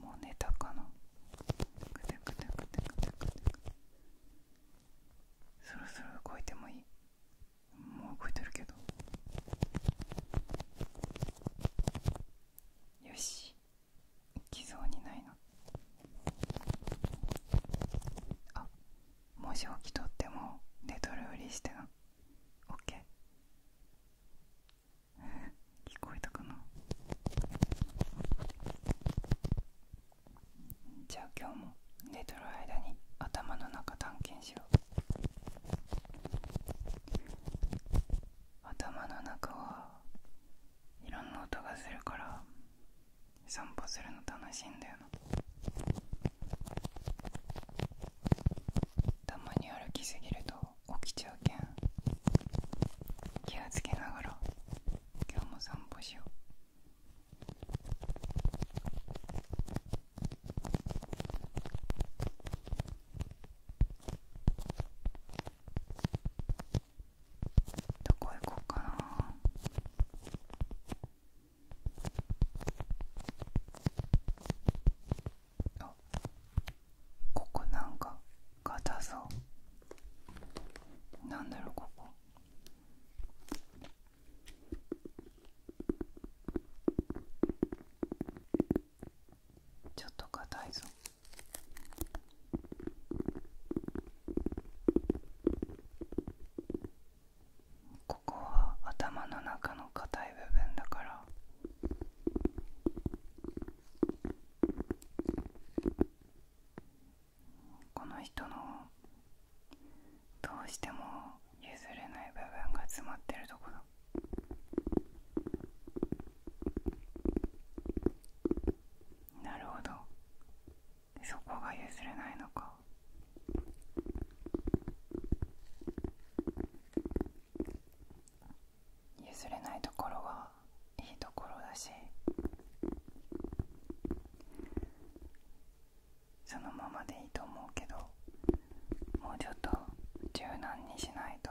もう寝たかなそろそろ動いてもいいもう動いてるけどよし来そうにないな。あもし起きとっても寝とるふりしてなオッケー聞こえたかなじゃあ今日も寝とる間に頭の中探検しよう頭の中はいろんな音がするから散歩するの楽しいんだよなたまに歩きすぎると起きちゃうけん気をつけながら今日も散歩しようどこ行こうかなあここなんか硬そうなんだろうここちょっと硬いぞここは頭の中の硬い部分だからこの人のどうしても譲れない部分が詰まってるとこだ。なるほどそこが譲れないのか譲れないところはいいところだしそのままでいいと思うけどもうちょっと柔軟にしないと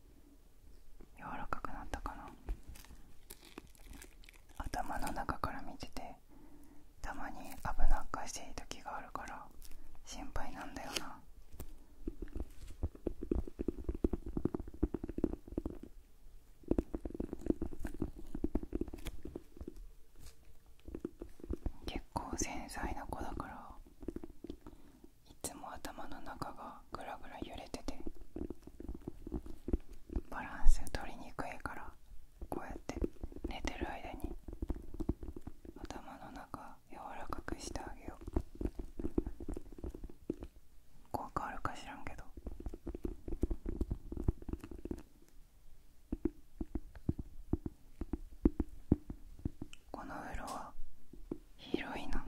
柔らかくなったかな頭の中から見ててたまに危なっかしい時があるから心配なんだよな結構繊細な子だからいつも頭の中がぐらぐら揺れててバランス取りにくいからこうやって寝てる間に頭の中柔らかくしてあげよう効果あるか知らんけどこのうろは広いな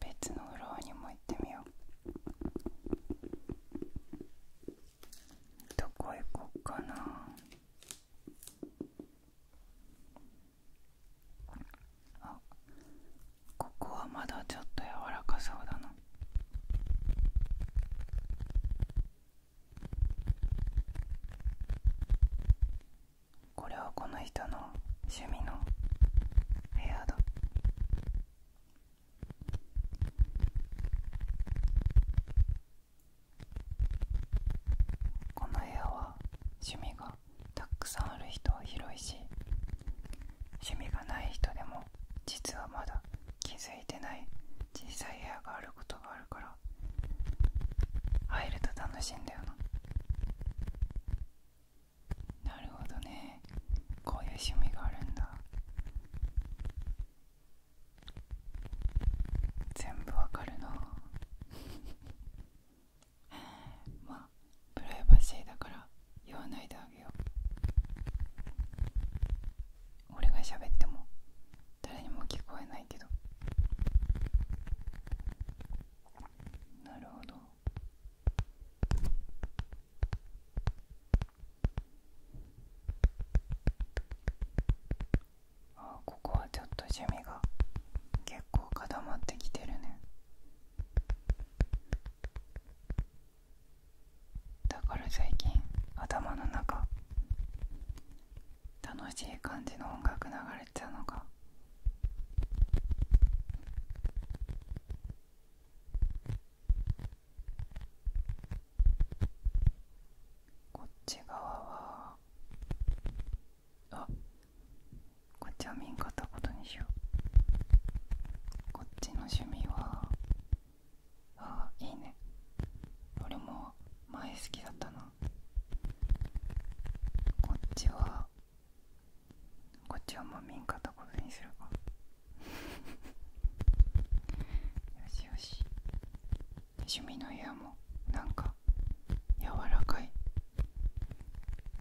別のうろにも行ってみようどこ行こっかなあここはまだちょっと柔らかそうだなこれはこの人の趣味の部屋だこの部屋は趣味がたくさんある人は広いし趣味がない人でも実はまだ気づいてない小さい部屋があることがあるから入ると楽しいんだよななるほどねこういう趣味があるんだ全部わかるな まあプライバシーだから言わないであげよう俺が喋っても誰にも聞こえないけどなるほどあここはちょっと趣味が結構固まってきてるねだから最近頭の中楽しい感じの音楽流れてたのがこっち側はあこっちは見んかったことにしようこっちの趣味はあいいね俺も前好きだったなこっちはこっちはまう見んかったことにするか よしよし趣味の部屋もなんか柔らかい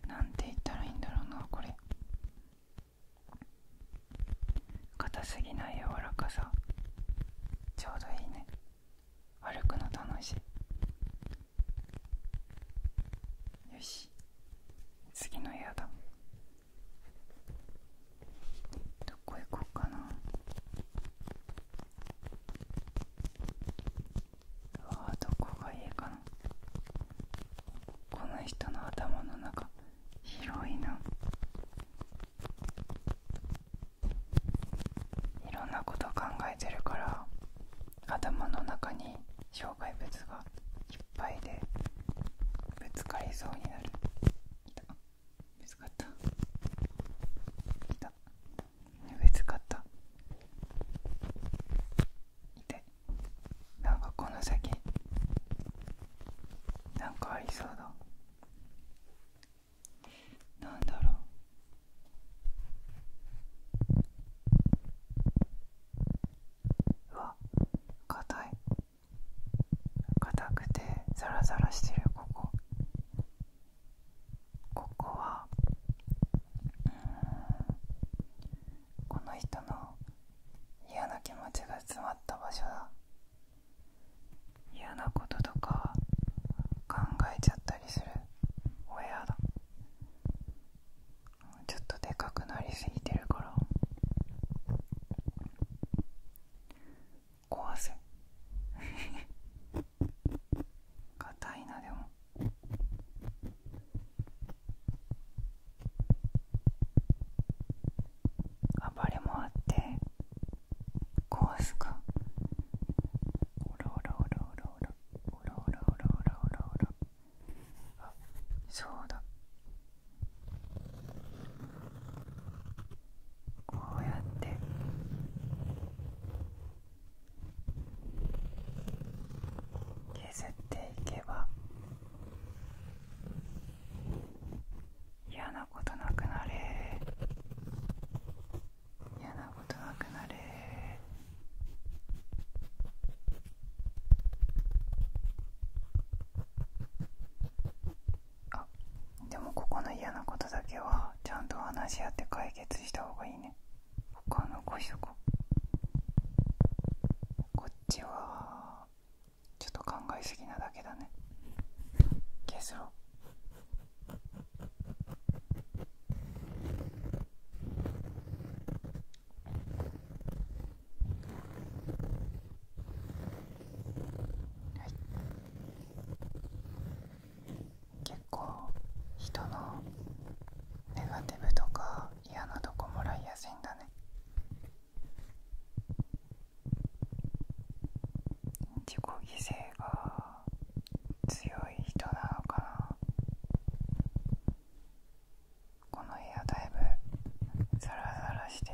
なんて言ったらいいんだろうなこれ硬すぎない柔らかさちょうどいいね歩くの楽しいよし次の部屋だどこ行こうかなああどこがいいかなこの人の頭の中広いないろんなこと考えてるから頭の中に障害物がいっぱいでぶつかりそうになるいた見つかった見た見つかった見てなんかこの先なんかありそうだなんだろううわ硬い硬くてザラザラしてるここここはうーんこの人の嫌な気持ちが詰まった場所だ嫌なこととか考えちゃったりするお部屋だちょっとでかくなりすぎてるから壊せ硬いなでも暴れもあって壊すかおらおらおらおらおらおらおらおらおらおらおらあそうだこうやって削っていけば嫌なことなくなれ嫌なことなくなれあでもここの嫌なことだけはちゃんと話し合って解決した方がいいね他のこしとここっちはちょっと考えすぎなだけだね消結論はい、結構人のネガティブとか嫌なとこもらいやすいんだね自己犠牲が強い人なのかなこの部屋だいぶザラザラしてて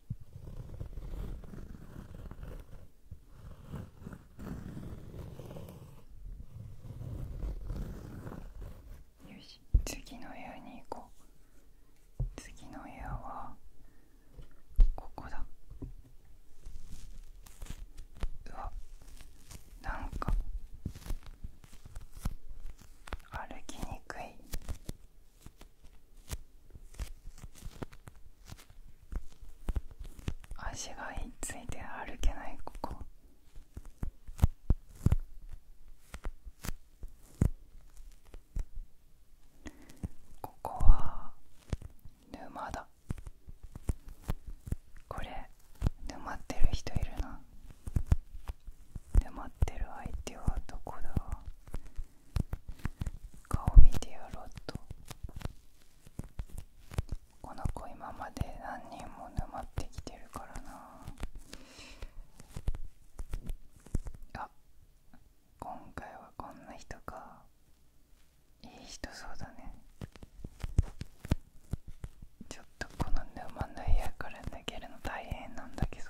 よし次の家に行こう次の家はここだうわなんか歩きにくい足がひっついて歩けないここここは沼だこれ沼ってる人いるな沼ってる相手はどこだ顔見てやろうとこの子今まで何人も沼ってきてるからなあ今回はこんな人かいい人そうだねちょっとこの沼の部屋から抜けるの大変なんだけど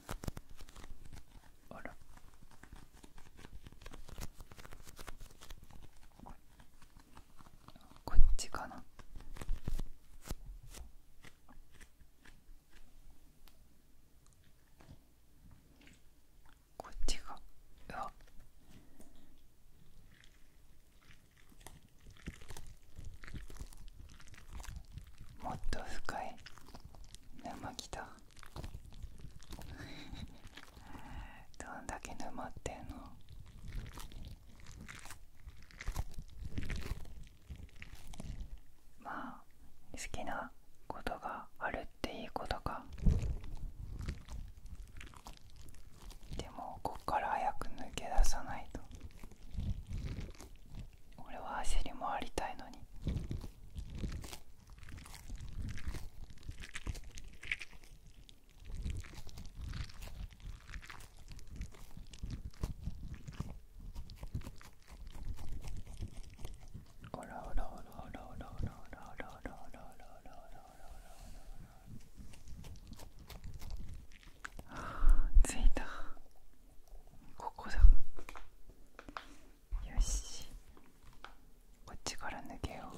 あらこっちかなこっちがうわもっと深い沼来た どんだけ沼ってんのまあ好きなことがあるっていいことかでもこっから早く抜け出さないと俺は走り回りたいのにおああ着いたここだよしこっちから抜けよう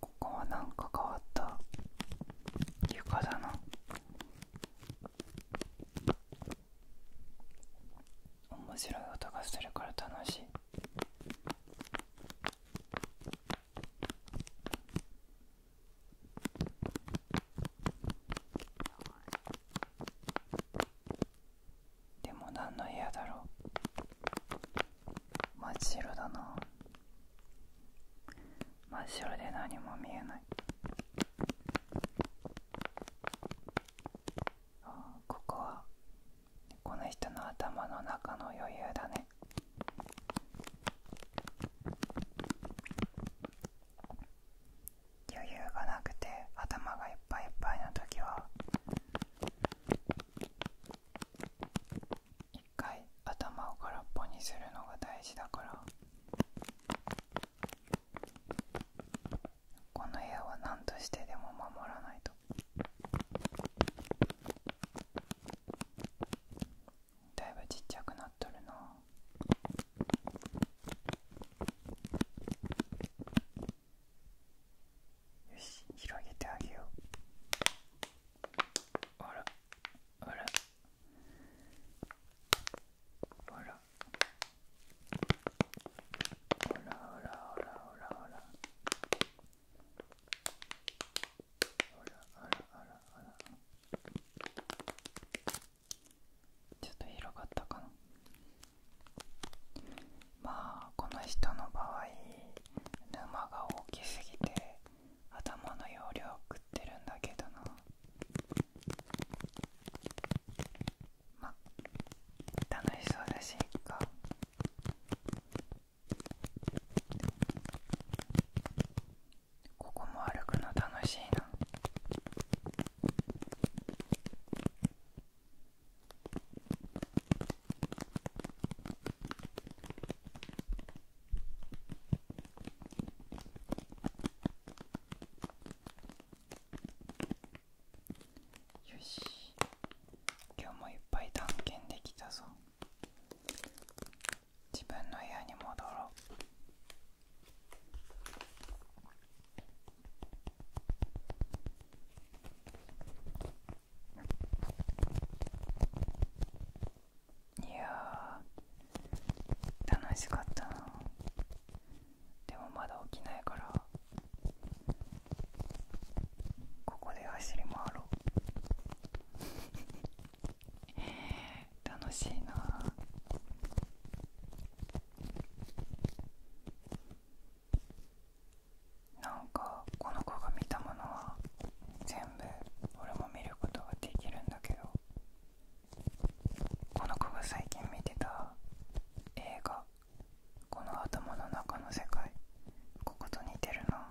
ここはなんか変わった床だな面白い音がするから楽しいでも何の部屋だろう真っ白だな真っ白で何も見えないここはこの人の頭の中の余裕だね余裕がなくて頭がいっぱいいっぱいな時は一回頭を空っぽにするのが大事だからこの部屋は何としてでも守らないとだいぶちっちゃくなっとるなよし広げてあげようあらあらほらほらほらほらほらほらほらほらほらちょっと広がったかなまあこの人の場合沼が大きすぎて頭の容量食ってるんだけどなま楽しそうだしいかここも歩くの楽しいなよし今日もいっぱい探検できたぞ自分の部屋に戻ろういや楽しかったなでもまだ起きないからここで走り回ろう 楽しいななんかこの子が見たものは全部俺も見ることができるんだけどこの子が最近見てた映画この頭の中の世界ここと似てるな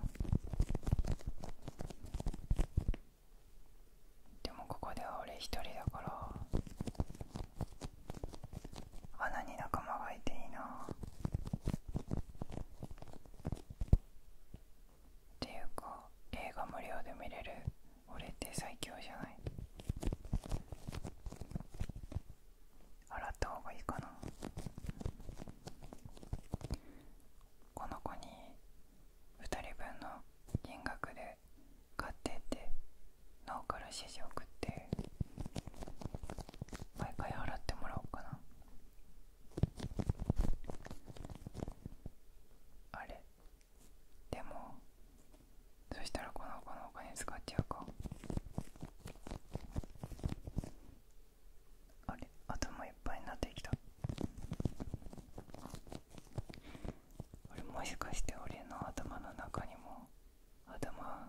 でもここでは俺一人だから穴に仲間がいていいなっていうか映画無料で見れる俺って最強じゃない洗った方がいいかなこの子に2人分の金額で買ってって脳から指示送って毎回洗ってもらおうかなあれでもそしたらこの子のお金使っちゃうかあれ頭いっぱいになってきたあれもしかして俺の頭の中にも頭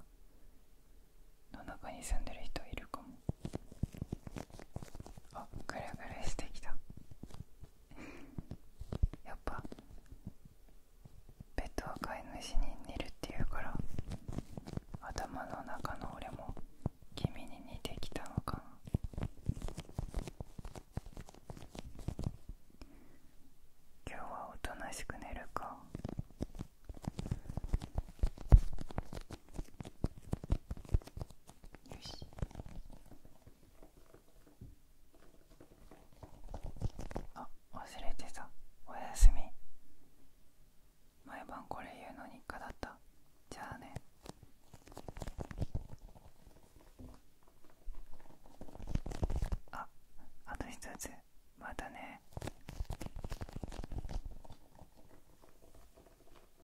の中に住んでる人いるかもあぐるぐるしてきたやっぱペットは飼い主に寝るっていうから頭の中の俺も君に似てきたのかな今日はおとなしく寝るかよしあ忘れてたおやすみ毎晩これ言うの日課だったじゃあねああと一つまたね